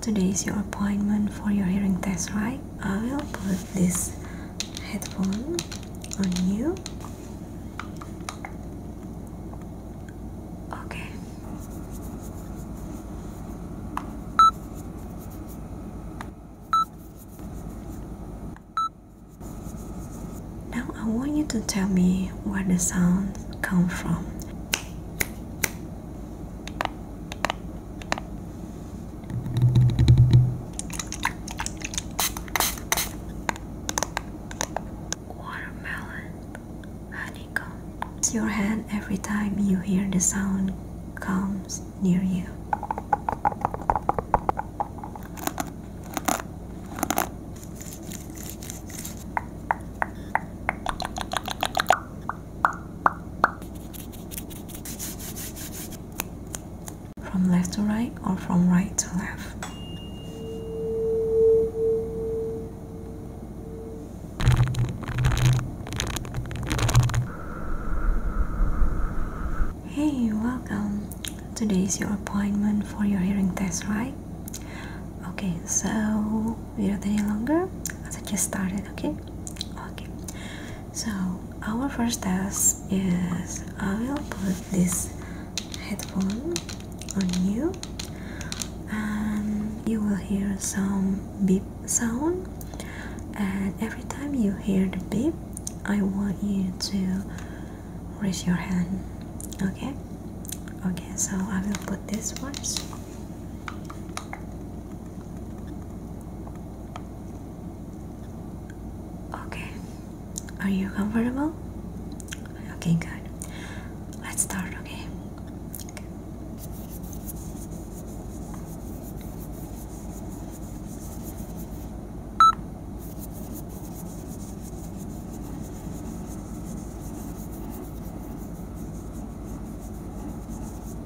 Today is your appointment for your hearing test, right? I will put this headphone on you. Okay. Now I want you to tell me where the sounds come from. Watermelon honeycomb. It's your hand every time you hear the sound comes near you. From left to right or from right to left. Hey, welcome. Today is your appointment for your hearing test, right? Okay, so we without any longer, let's just started, okay? Okay, so our first task is I will put this headphone on you and you will hear some beep sound and every time you hear the beep I want you to raise your hand okay okay so I will put this first Okay, are you comfortable? Okay, good. Let's start, okay? okay.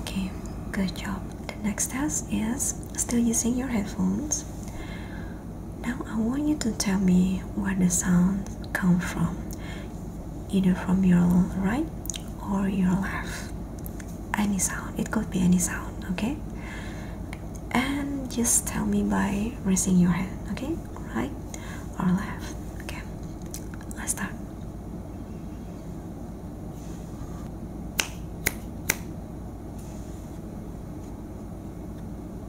Okay, good job. The next test is still using your headphones. Now I want you to tell me where the sounds come from, either from your right or your left. Any sound, it could be any sound, okay? And just tell me by raising your hand, okay? Right or left, okay? Let's start.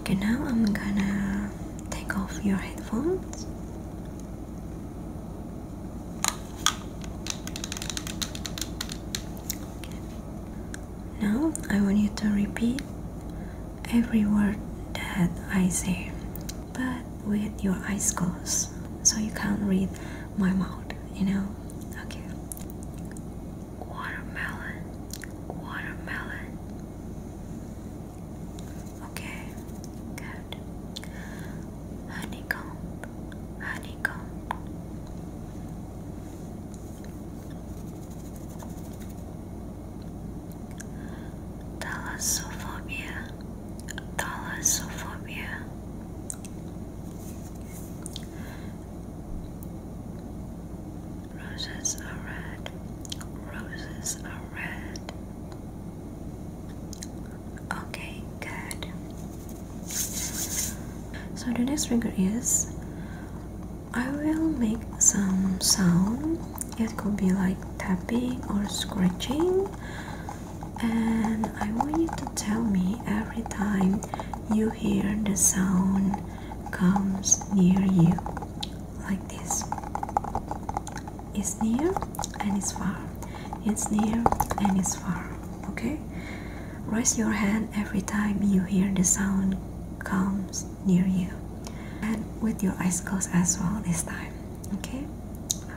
Okay, now I'm gonna take off your headphones. Now I want you to repeat every word that I say, but with your eyes closed so you can't read my mouth, you know? Okay. Watermelon, watermelon, Okay, good. Honeycomb, honeycomb. Thalassophobia, thalassophobia. Roses are red, roses are red. Okay, good. So the next trigger is I will make some sound. It could be like tapping or scratching, and I want you to tell me every time you hear the sound comes near you, like this it's near and it's far it's near and it's far okay raise your hand every time you hear the sound comes near you and with your eyes closed as well this time okay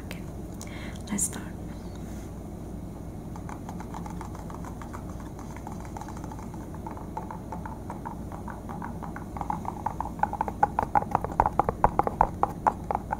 okay let's start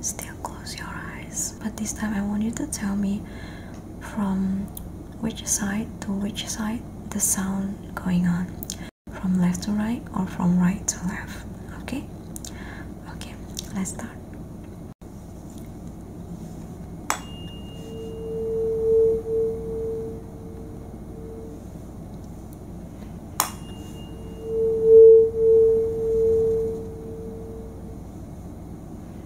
still close your eyes but this time i want you to tell me from which side to which side the sound going on from left to right or from right to left okay okay let's start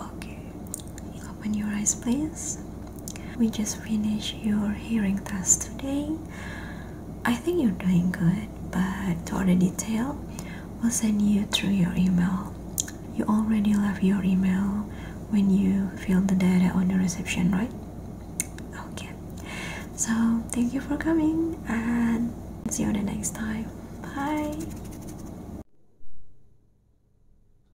Okay, open your eyes, please. We just finished your hearing test today. I think you're doing good, but for the detail, we'll send you through your email. You already left your email when you filled the data on the reception, right? Okay. So, thank you for coming and see you the next time. Bye.